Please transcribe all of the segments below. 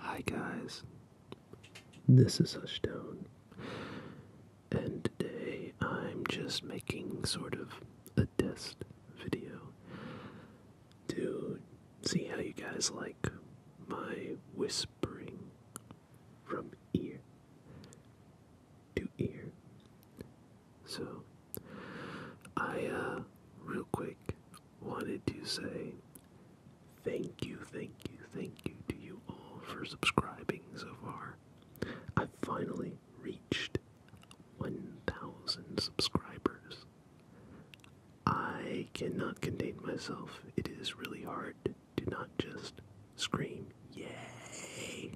Hi guys, this is Hushdown, and today I'm just making sort of a test video to see how you guys like my whispering from ear to ear. So, I, uh, real quick, wanted to say thank you, thank you, thank you to you all for subscribing so far. I finally reached 1,000 subscribers. I cannot contain myself. It is really hard do not just scream, yay!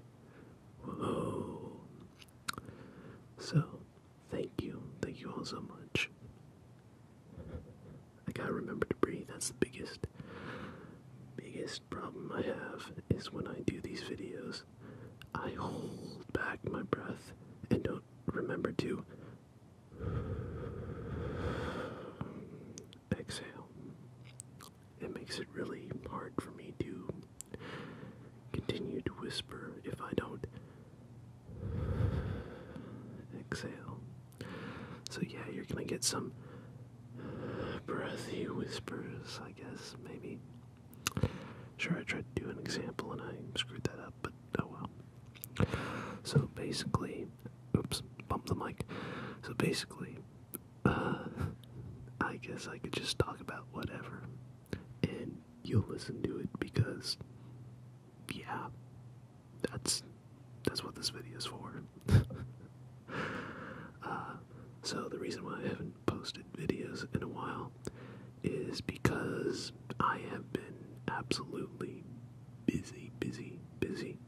Whoa! So, thank you. Thank you all so much. I gotta remember to breathe. That's the biggest, biggest problem I have is when I do these videos, I hold back my breath and don't remember to Exhale. It makes it really hard for me to continue to whisper if I don't exhale. So, yeah, you're gonna get some breathy whispers, I guess, maybe. Sure, I tried to do an example and I screwed that up, but oh well. So basically, oops, bump the mic. So basically, uh, I guess I could just talk about whatever, and you'll listen to it because, yeah, that's that's what this video is for. uh, so the reason why I haven't posted videos in a while is because I have been absolutely busy, busy, busy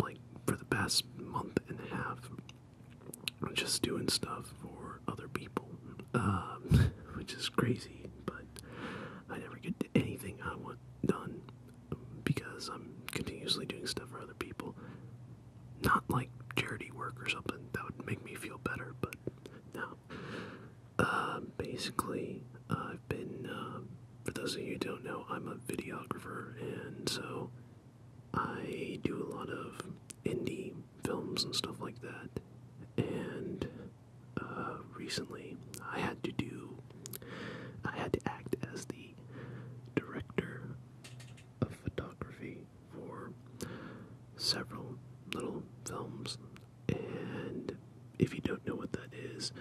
like for the past month and a half just doing stuff for other people um, which is crazy but i never get anything i want done because i'm continuously doing stuff for other people not like charity work or something that would make me feel better but no uh, basically, I've been, um, for those of you who don't know, I'm a videographer, and so I do a lot of indie films and stuff like that. And uh, recently, I had to do, I had to act as the director of photography for several little films and if you don't know what that is,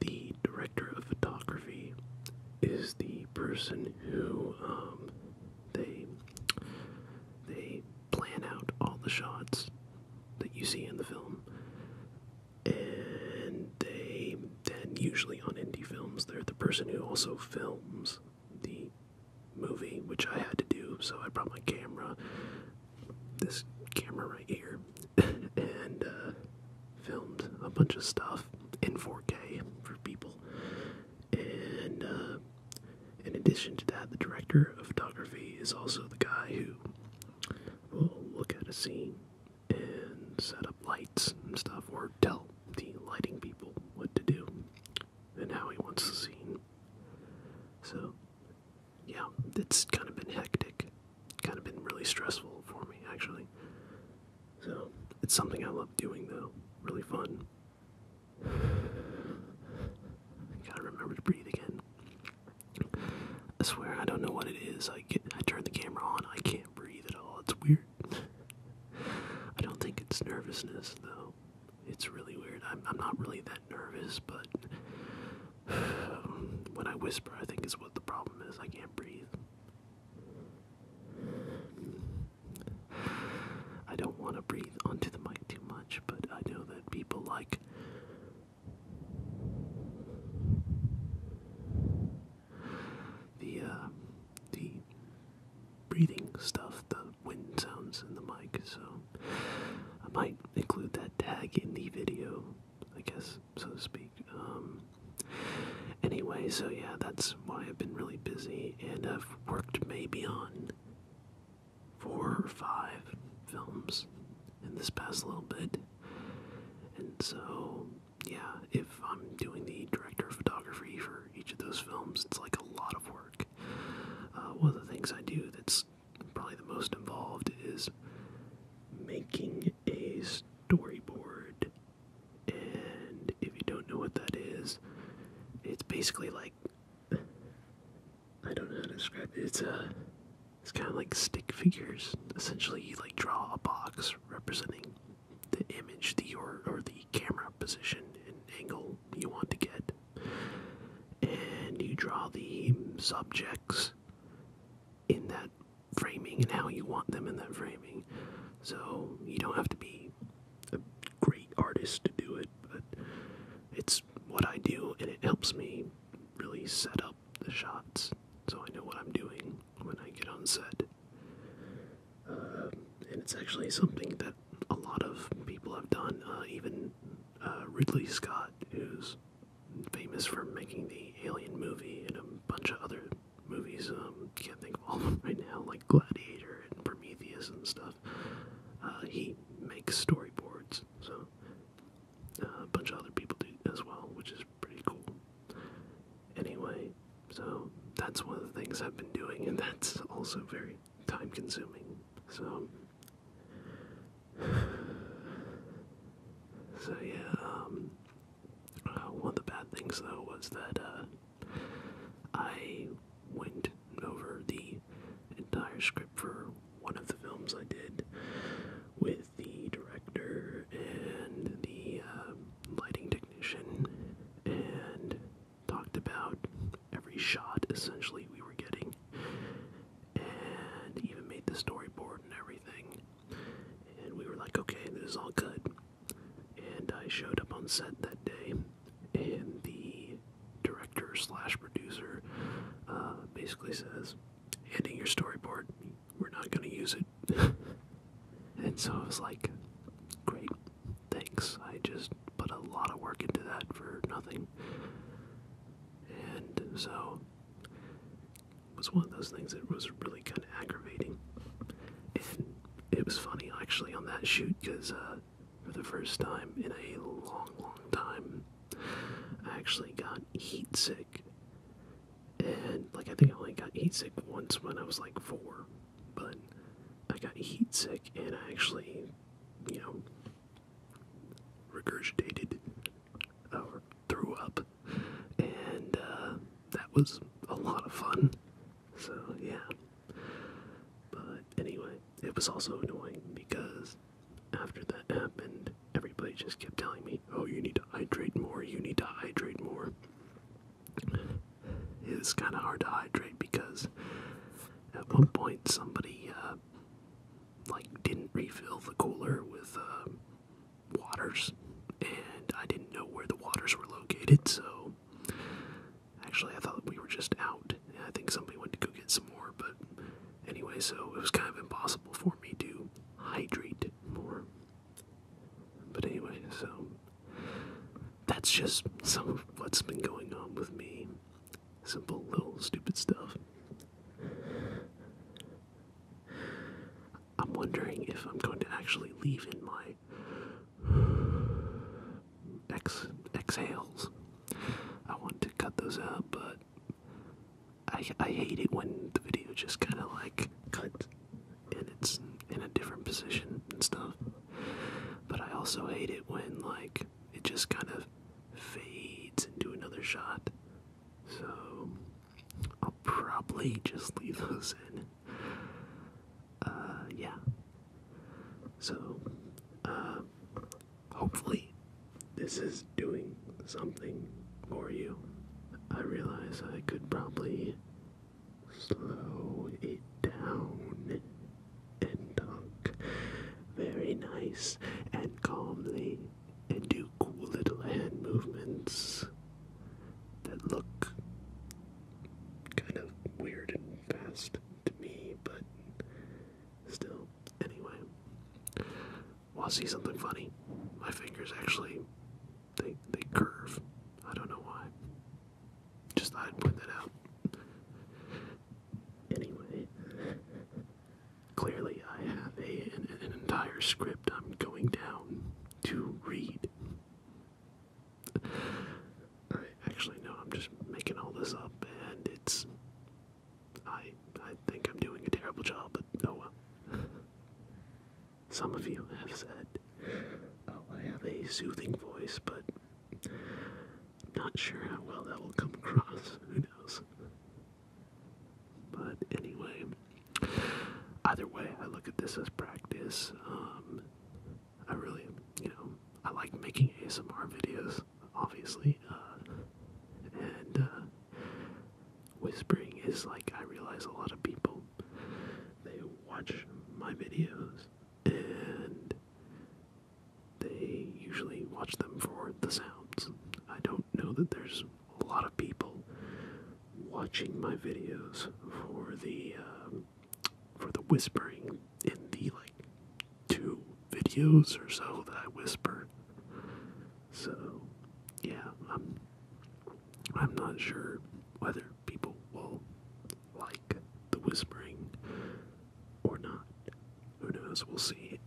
the director of photography is the person who um, they they plan out all the shots that you see in the film, and they then usually on indie films they're the person who also films the movie, which I had to do. So I brought my camera, this camera right here and uh, filmed a bunch of stuff in 4K for people. And uh, in addition to that, the director of photography is also the guy who will look at a scene and set up lights and stuff, or tell the lighting people what to do and how he wants the scene. So yeah, it's kind of been hectic. Kind of been really stressful for me, actually. So, it's something I love doing, though. Really fun. Gotta remember to breathe again. I swear, I don't know what it is. I get, I turn the camera on, I can't breathe at all. It's weird. I don't think it's nervousness, though. It's really weird. I'm, I'm not really that nervous, but when I whisper, I think is what the problem is. I can't breathe. I don't want to breathe onto the mic too much, but I know that people like the uh, the breathing stuff, the wind sounds in the mic. So I might include that tag in the video, I guess, so to speak. Um, anyway, so yeah, that's why I've been really busy, and I've worked maybe on four or five films in this past little bit. And so, yeah, if I'm doing the director of photography for each of those films, it's like a lot of work. Uh, one of the things I do that's probably the most involved is making a storyboard. And if you don't know what that is, it's basically like I don't know how to describe it. It's a uh, it's kind of like stick figures. Essentially, you like draw a box representing the image, the or or the camera position and angle you want to get, and you draw the subjects in that framing and how you want them in that framing. So you don't have to be a great artist to do it, but it's what I do and it helps me really set up the shots so I know what I'm doing when I get on set. Um, and it's actually something that a lot of people have done, uh, even uh, Ridley Scott, who's famous for making the Alien movie and a bunch of other movies. Um, can't think of all of them right now, like Gladiator and Prometheus and stuff. Uh, he makes storyboards, so uh, a bunch of other people do as well, which is pretty cool. Anyway, so that's one of the things I've been doing, and that's also very time consuming. So, so yeah. Um, uh, one of the bad things though was that uh, I went over the entire script for one of the films I did with the director and the uh, lighting technician and talked about every shot essentially we were getting, and even made the storyboard and everything. And we were like, okay, this is all good. And I showed up on set that day, and the director slash producer uh, basically says, "Handing your storyboard, we're not going to use it." and so I was like, "Great, thanks." I just put a lot of work into that for nothing. And so it was one of those things that was really kind of aggravating. And it was funny actually on that shoot because uh, for the first time in a long, long time, I actually got heat sick. And like I think I only got heat sick once when I was like four, but I got heat sick and I actually, you know, regurgitated or uh, threw up, and uh, that was a lot of fun. So, yeah. But anyway, it was also annoying because after that happened, everybody just kept telling me, oh, you need to hydrate more, you need to hydrate more. It was kind of hard to hydrate because at one point somebody uh, uh, like didn't refill the cooler with uh, waters, and I didn't know where the waters were located. So actually, I thought we were just out. I think somebody went to go get some more, but anyway, so it was kind of impossible for me to hydrate more. But anyway, so that's just some of what's been going on with me. Simple little stupid stuff. I'm wondering if I'm going to actually leave in my ex exhales. I want to cut those out, but I I hate it when the video just kind of like cuts and it's in a different position and stuff. But I also hate it when like it just kind of fades into another shot. So I'll probably just leave those in. Uh, yeah. So, uh, hopefully, this is doing something for you. I realize I could probably slow it down and talk very nice and calmly and do cool little hand movements that look kind of weird and fast to me, but still, anyway. Well, see something funny. My fingers actually, they, they curve. I don't know why. Just thought I'd point that out. Anyway, clearly I have a, an, entire script I'm going down to read. actually no, I'm just making all this up, and it's. I I think I'm doing a terrible job, but no. Oh some of you have said, "Oh, I have a soothing voice," but I'm not sure how well that will come across. Who knows? But anyway, either way, I look at this as practice. Um, I really, you know, I like making ASMR videos, obviously. Uh, and uh, whispering is like, I realize a lot of people, they watch my videos and they usually watch them for the sounds. I don't know that there's a lot of people watching my videos for the um, for the whispering in the like two videos or so that I whisper. So yeah, I'm I'm not sure whether people will like The Whispering or not. Who knows? We'll see.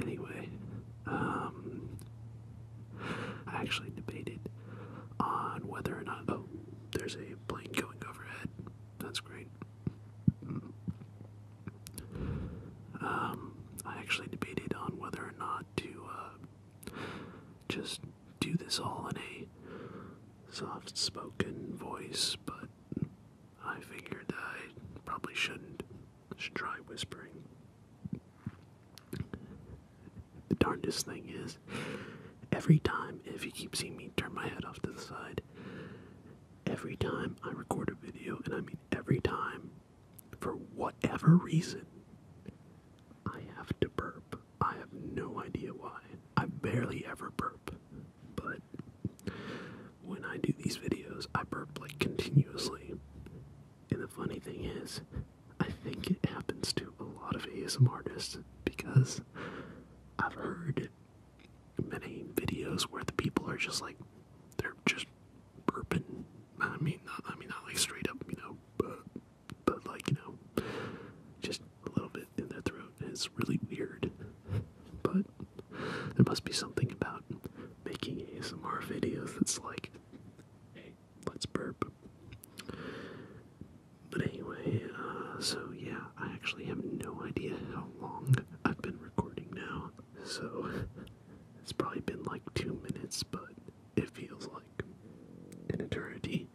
Anyway, um, I actually debated on whether or not. Oh, there's a plane going overhead. That's great. Um, I actually debated on whether or not to uh, just do this all in a soft spoken voice, but I figured I probably shouldn't. should try whispering. The darndest thing is, every time, if you keep seeing me turn my head off to the side, every time I record a video, and I mean every time, for whatever reason, I have to burp. I have no idea why. I barely ever burp, but when I do these videos, I burp like continuously. And the funny thing is, I think it happens to a lot of ASMR artists because I've heard many videos where the people are just like, they're just burping. I mean, not, I mean, not like straight up, you know, but, but like, you know, just a little bit in their throat, it's really weird. But there must be something about making ASMR videos that's like, hey, let's burp. But anyway, uh, so yeah, I actually have no idea how long I've been recording now. So it's probably been like two minutes, but it feels like an eternity.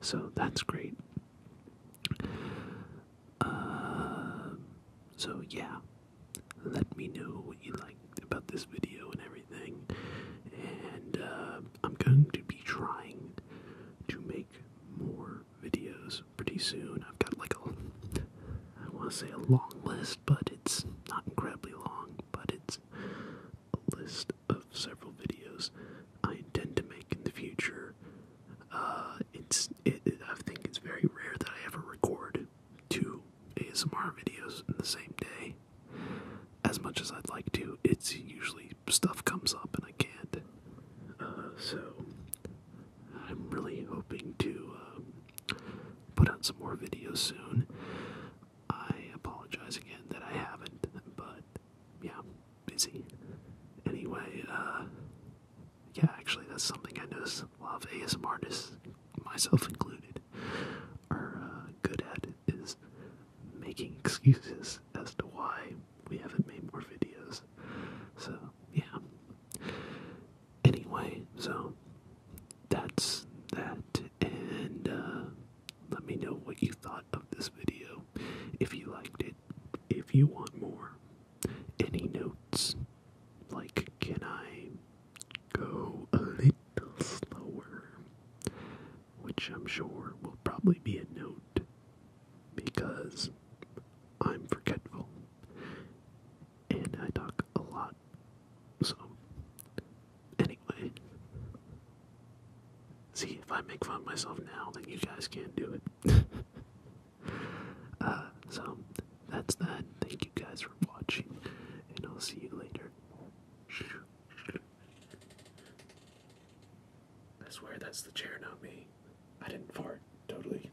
So that's great. Uh, so yeah, let me know what you like about this video and everything. And uh, I'm going to be trying to make more videos pretty soon. I've got like a, I want to say a long list, but it's not incredibly long, but it's list of several videos I intend to make in the future. Uh, it's it, I think it's very rare that I ever record two ASMR videos in the same day. As much as I'd like to, it's usually stuff comes up and I can't. Uh, so I'm really hoping to uh, put out some more videos soon. I apologize again that I haven't, but yeah busy. Anyway, uh, yeah, actually, that's something I notice a lot of ASM artists, myself included, are uh, good at is making excuses as to why we haven't made more videos. So, yeah. Anyway, so that's that, and uh, let me know what you thought of this video. If you liked it, if you want more, any notes, like can I go a little slower? Which I'm sure will probably be a note because I'm forgetful and I talk a lot. So, anyway. See, if I make fun of myself now, then you guys can't do it. Uh, so, that's that. Thank you guys for watching, and I'll see you later. I swear that's the chair, not me. I didn't fart, totally.